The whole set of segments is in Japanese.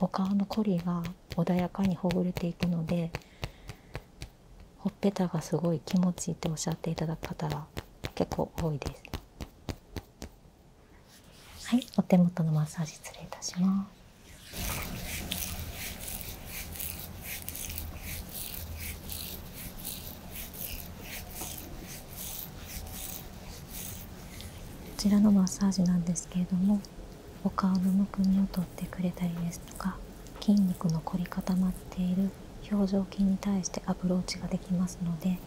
お顔のコリが穏やかにほぐれていくのでほっがすごい気持ちいっておっしゃっていただく方が結構多いですはいお手元のマッサージ失礼いたしますこちらのマッサージなんですけれどもお顔のむくみを取ってくれたりですとか筋肉の凝り固まっている表情筋に対してアプローチができますので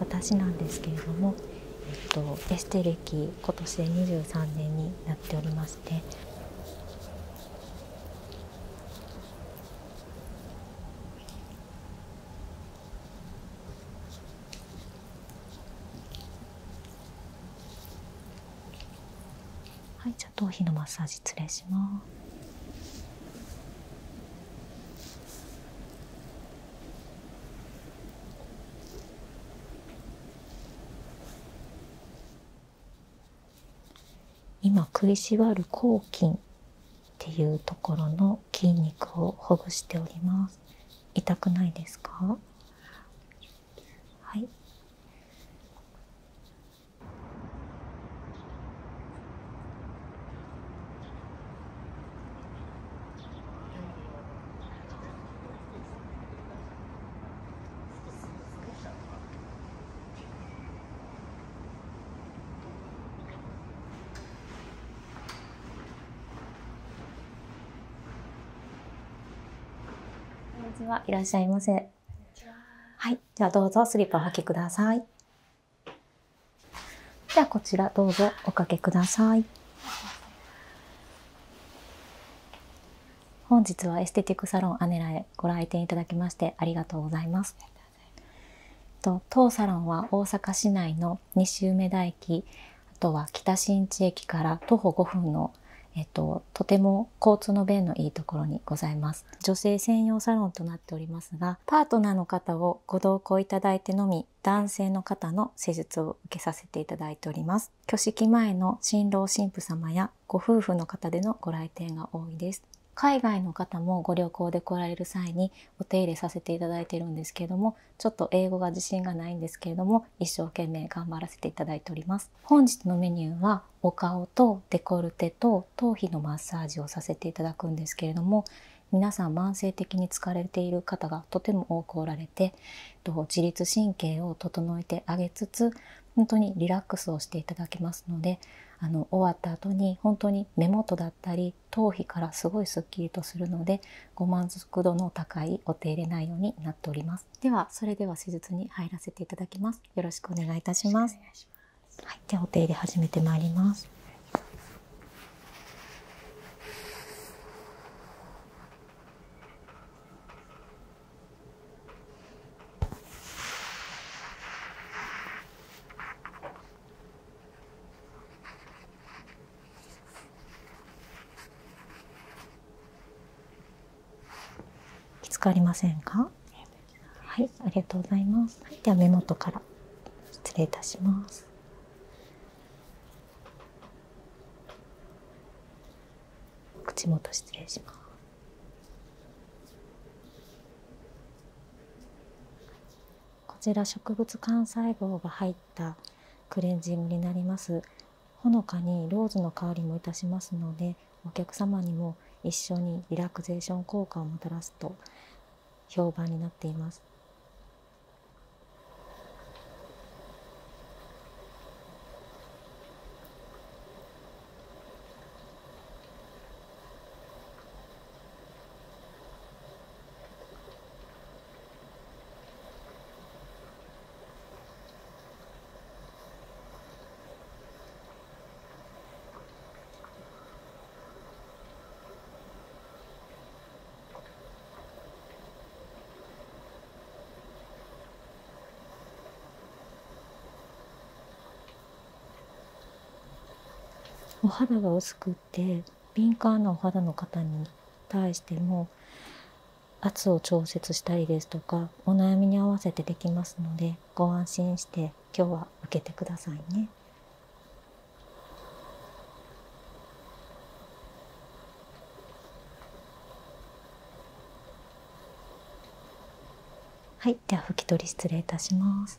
私なんですけれども、えっと、エステ歴今年で23年になっておりましてはい、じゃあ頭皮のマッサージ失礼します。今食いしばる抗菌っていうところの筋肉をほぐしております痛くないですかはいこんにちは。いらっしゃいませ。ははい。じゃあどうぞスリッパお履きください。ではこちらどうぞおかけください。本日はエステティックサロンアネラへご来店いただきましてありがとうございます。と当サロンは大阪市内のの西梅田駅あとは北新地駅から徒歩5分の、えっと、とても交通の便のいいところにございます女性専用サロンとなっておりますがパートナーの方をご同行いただいてのみ男性の方の施術を受けさせていただいております挙式前の新郎新婦様やご夫婦の方でのご来店が多いです海外の方もご旅行で来られる際にお手入れさせていただいてるんですけれどもちょっと英語が自信がないんですけれども一生懸命頑張らせていただいております本日のメニューはお顔とデコルテと頭皮のマッサージをさせていただくんですけれども皆さん慢性的に疲れている方がとても多くおられて自律神経を整えてあげつつ本当にリラックスをしていただきますのであの終わった後に本当に目元だったり頭皮からすごいスッキリとするのでご満足度の高いお手入れ内容になっておりますではそれでは手術に入らせていただきますよろしくお願いいたしますはい、ではお手入れ始めてまいりますきつくりませんかはいありがとうございますでは目元から失礼いたします口元失礼しますこちら植物幹細胞が入って。ったクレンジングになりますほのかにローズの香りもいたしますのでお客様にも一緒にリラクゼーション効果をもたらすと評判になっていますお肌が薄くっ敏感なお肌の方に対しても圧を調節したりですとかお悩みに合わせてできますのでご安心して今日は受けてくださいね。はい、では拭き取り失礼いたします。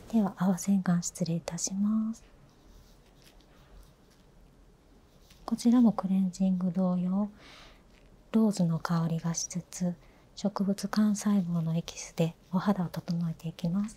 では青洗顔失礼いたしますこちらもクレンジング同様ローズの香りがしつつ植物幹細胞のエキスでお肌を整えていきます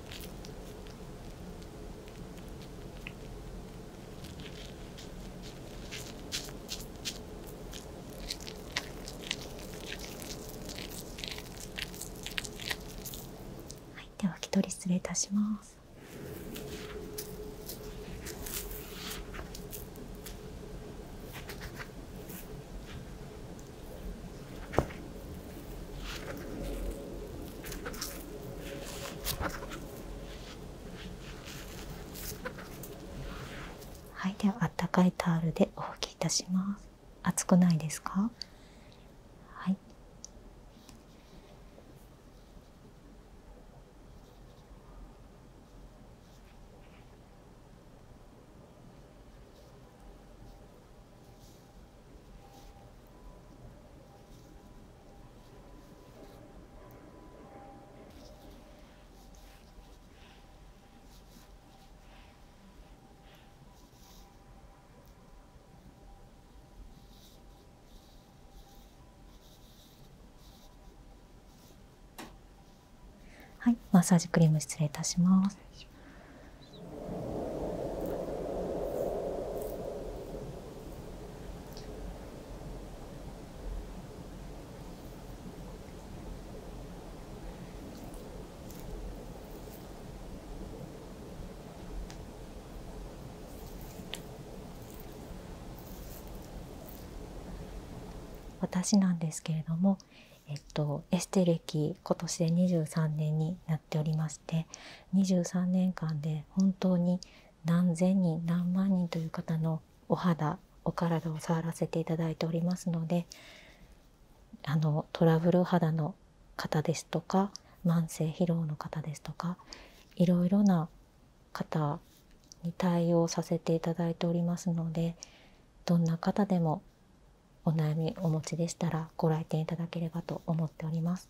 はい、では拭き取り失礼いたします。はいではあったかいタオルでお拭きいたします熱くないですかはいはい、マッサージクリーム失礼いたします。私なんですけれども、えっと、エステ歴今年で23年になってておりまして23年間で本当に何千人何万人という方のお肌お体を触らせていただいておりますのであのトラブル肌の方ですとか慢性疲労の方ですとかいろいろな方に対応させていただいておりますのでどんな方でもお悩みお持ちでしたらご来店いただければと思っております。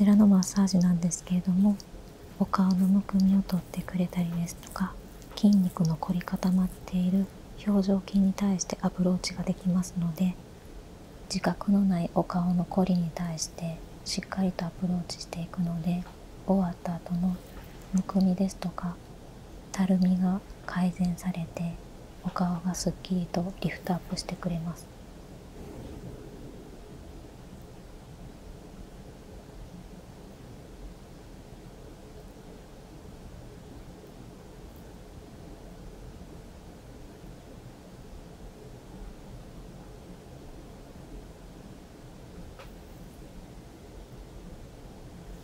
こちらのマッサージなんですけれどもお顔のむくみを取ってくれたりですとか筋肉の凝り固まっている表情筋に対してアプローチができますので自覚のないお顔の凝りに対してしっかりとアプローチしていくので終わった後のむくみですとかたるみが改善されてお顔がすっきりとリフトアップしてくれます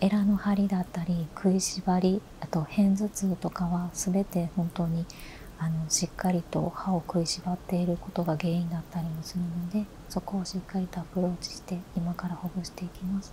エラの針だったり食いしばりあと片頭痛とかは全て本当にあのしっかりと歯を食いしばっていることが原因だったりもするのでそこをしっかりとアプローチして今からほぐしていきます。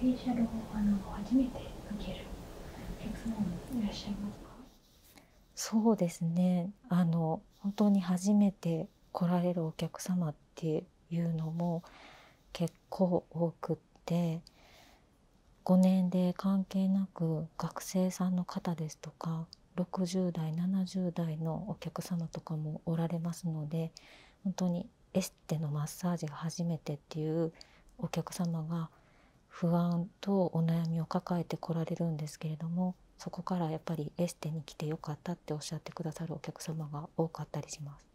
フェシャルをあの初めてそうですねあの本当に初めて来られるお客様っていうのも結構多くって5年で関係なく学生さんの方ですとか60代70代のお客様とかもおられますので本当にエステのマッサージが初めてっていうお客様が不安とお悩みを抱えてこられるんですけれどもそこからやっぱりエステに来てよかったっておっしゃってくださるお客様が多かったりします。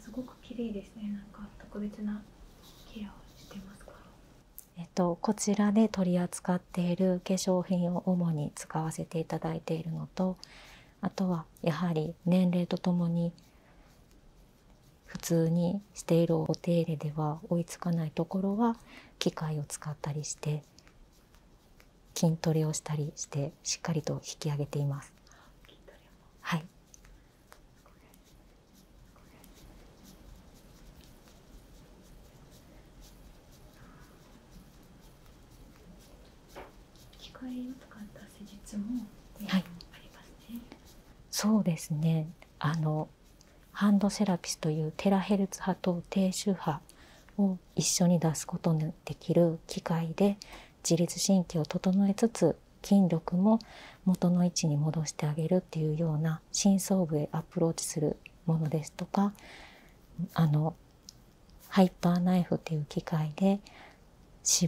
すごく綺麗ですね。なんか特別なケアをしてますか。えっとこちらで取り扱っている化粧品を主に使わせていただいているのと、あとはやはり年齢とともに普通にしているお手入れでは追いつかないところは機械を使ったりして筋トレをしたりしてしっかりと引き上げています。はいそうですね。あのハンドセラピスというテラヘルツ波と低周波を一緒に出すことのできる機械で自律神経を整えつつ筋力も元の位置に戻してあげるっていうような深層部へアプローチするものですとかあのハイパーナイフっていう機械で脂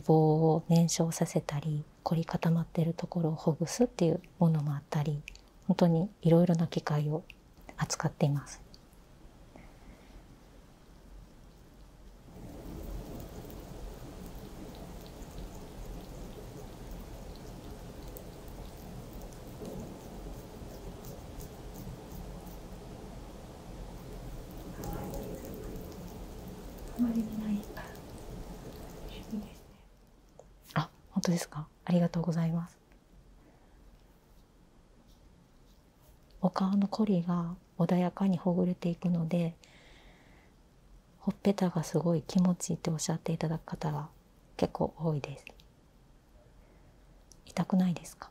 肪を燃焼させたり凝り固まっているところをほぐすっていうものもあったり本当にいろいろな機械を扱っています。趣味ですね。あ、本当ですか。ありがとうございます。お顔のこりが穏やかにほぐれていくのでほっぺたがすごい気持ちいっておっしゃっていただく方が結構多いです痛くないですか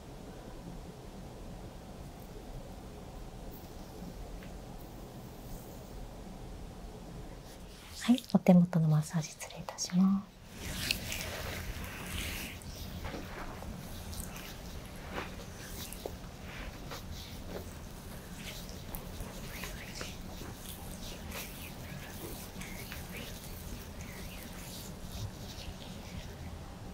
はい、お手元のマッサージ失礼いたします。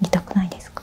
痛くないですか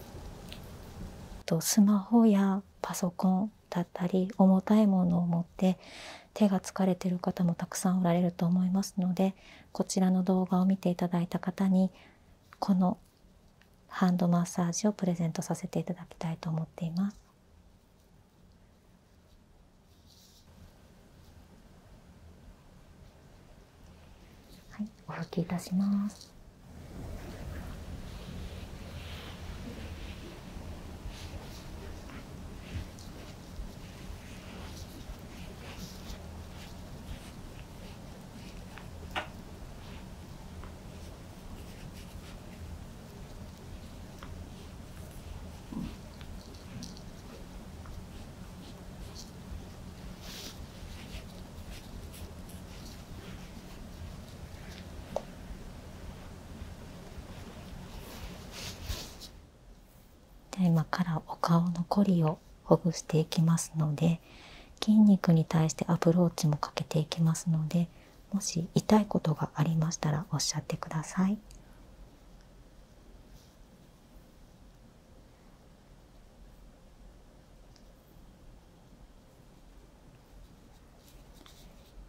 とスマホやパソコンだったり重たいものを持って手が疲れてる方もたくさんおられると思いますのでこちらの動画を見ていただいた方にこのハンドマッサージをプレゼントさせていただきたいと思っています。はい、お拭きいたします。では、今からお顔のこりをほぐしていきますので筋肉に対してアプローチもかけていきますのでもし痛いことがありましたらおっしゃってください。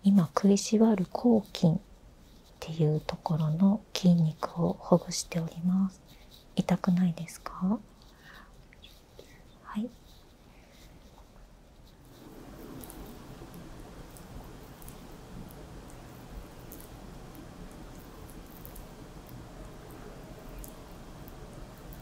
今食いしばる抗菌っていうところの筋肉をほぐしております痛くないですかはい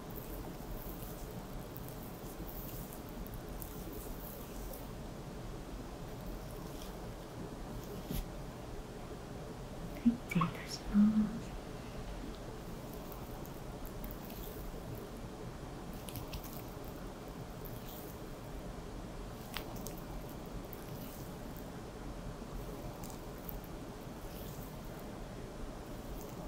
い失礼いたします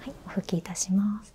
はい、お拭きいたします。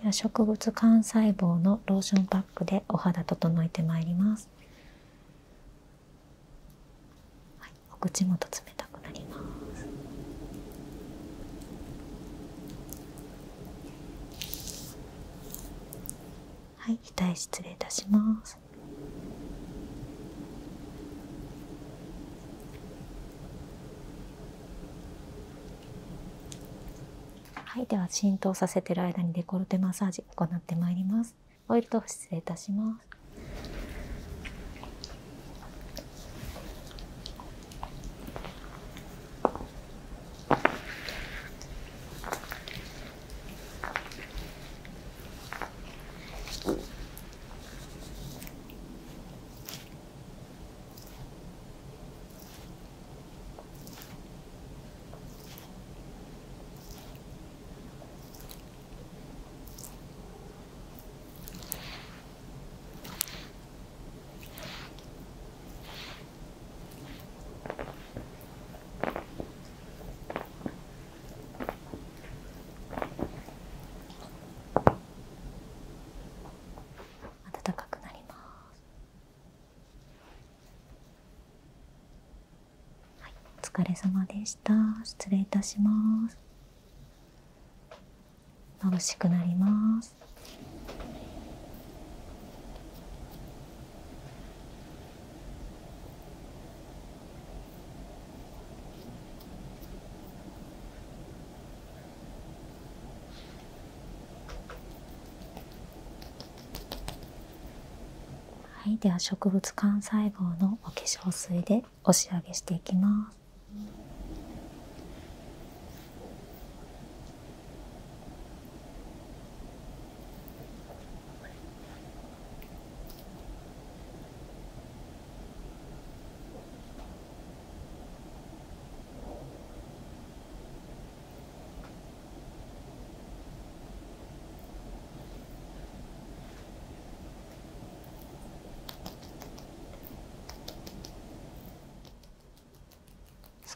では植物幹細胞のローションパックでお肌整えてまいりますはい、お口元冷たくなりますはい、額失礼いたしますはい、では浸透させてる間にデコルテマッサージ行ってまいりますオイル失礼いたします暖かくなります。はい、お疲れ様でした。失礼いたします。眩しくなります。はい、では植物幹細胞のお化粧水で押し上げしていきます。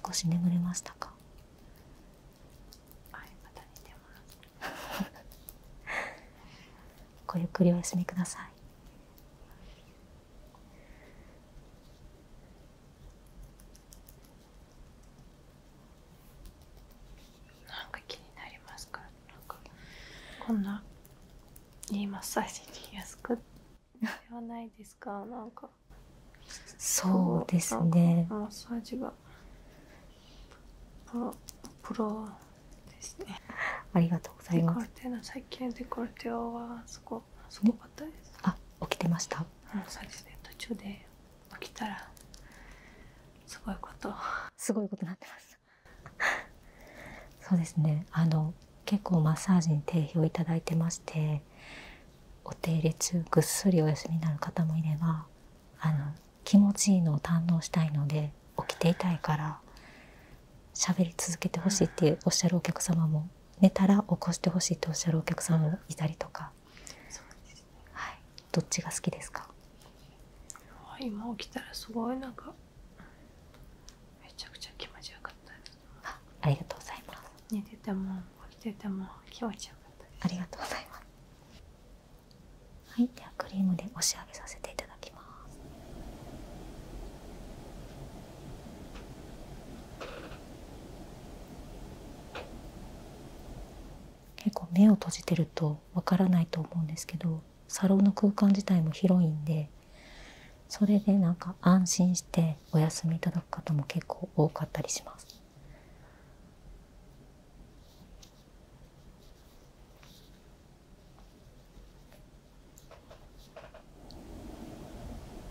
少し眠れましたかごゆっくりお休みくださいなんか気になりますからかこんないいマッサージやすくではないですかなんかそうですねマッサージがプロプロですねありがとうございますデコルテの最近デコルテはすごかったです、ね、あ起きてました、うそうですね途中で起きたらすごいことすごいことなってますそうですねあの結構マッサージに定評いたいてましてお手入れ中ぐっすりお休みになる方もいればあの気持ちいいのを堪能したいので起きていたいから喋り続けてほしいっておっしゃるお客様も寝たら起こしてほしいとおっしゃるお客様もいたりとか。そうですねはいどっちが好きですか今起きたらすごいなんかめちゃくちゃ気持ちよかったありがとうございます寝てても起きてても気持ちよかったありがとうございますはいではクリームで押し上げさせていただきます結構目を閉じてるとわからないと思うんですけどサロンの空間自体も広いんでそれでなんか安心してお休みいただく方も結構多かったりします。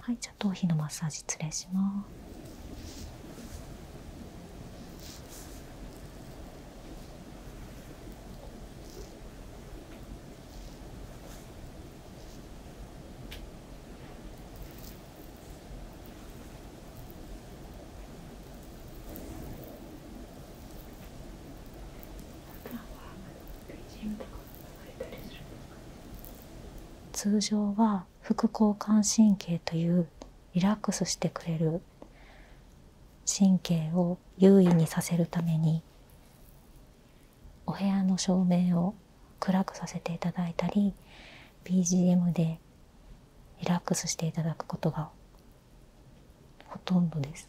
はいじゃあ頭皮のマッサージ失礼します通常は副交感神経というリラックスしてくれる神経を優位にさせるためにお部屋の照明を暗くさせていただいたり BGM でリラックスしていただくことがほとんどです。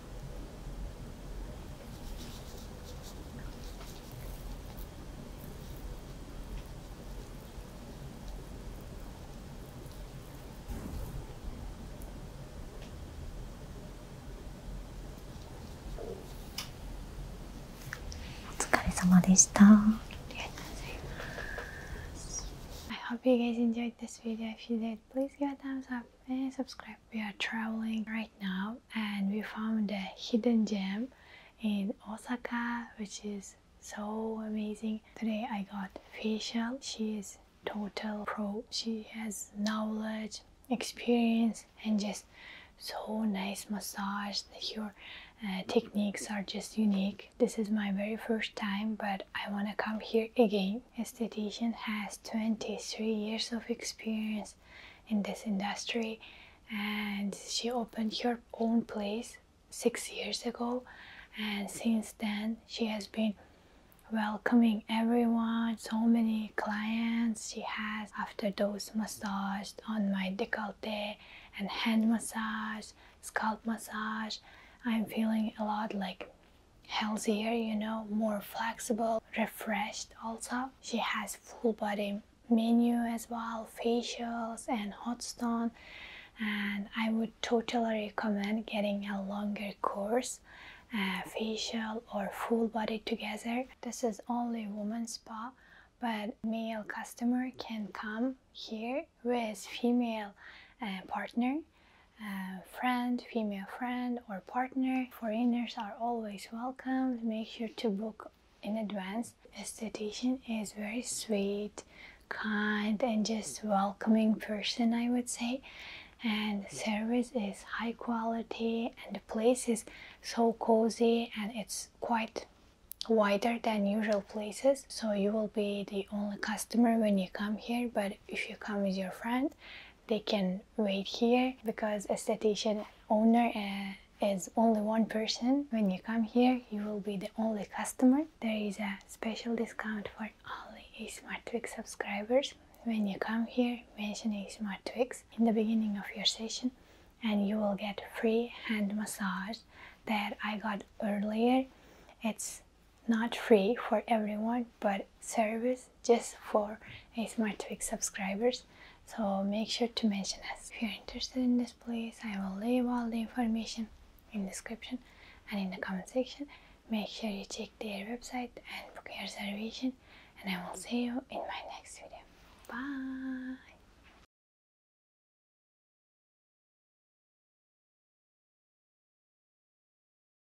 お疲れ様でした。ありがとうございます。I hope you guys enjoyed this video. If you did, please give a thumbs up and subscribe. We are traveling right now and we found a hidden gem in Osaka which is so amazing. Today I got facial. She is total pro. She has knowledge, experience and just so nice massage. Your uh, techniques are just unique. This is my very first time but I want to come here again my esthetician has 23 years of experience in this industry and she opened her own place six years ago and since then she has been welcoming everyone so many clients she has after those massage on my decollete and hand massage scalp massage i'm feeling a lot like healthier, you know, more flexible, refreshed also. She has full body menu as well, facials and hot stone and I would totally recommend getting a longer course uh, facial or full body together. This is only woman spa but male customer can come here with female uh, partner friend, female friend or partner. Foreigners are always welcome. Make sure to book in advance. Esthetician is very sweet, kind and just welcoming person I would say and service is high quality and the place is so cozy and it's quite wider than usual places so you will be the only customer when you come here but if you come with your friend they can wait here because a station owner uh, is only one person when you come here you will be the only customer there is a special discount for only a smart twix subscribers when you come here mentioning a smart twix in the beginning of your session and you will get free hand massage that i got earlier it's not free for everyone but service just for a subscribers so make sure to mention us if you're interested in this place i will leave all the information in description and in the comment section make sure you check their website and book your reservation and i will see you in my next video bye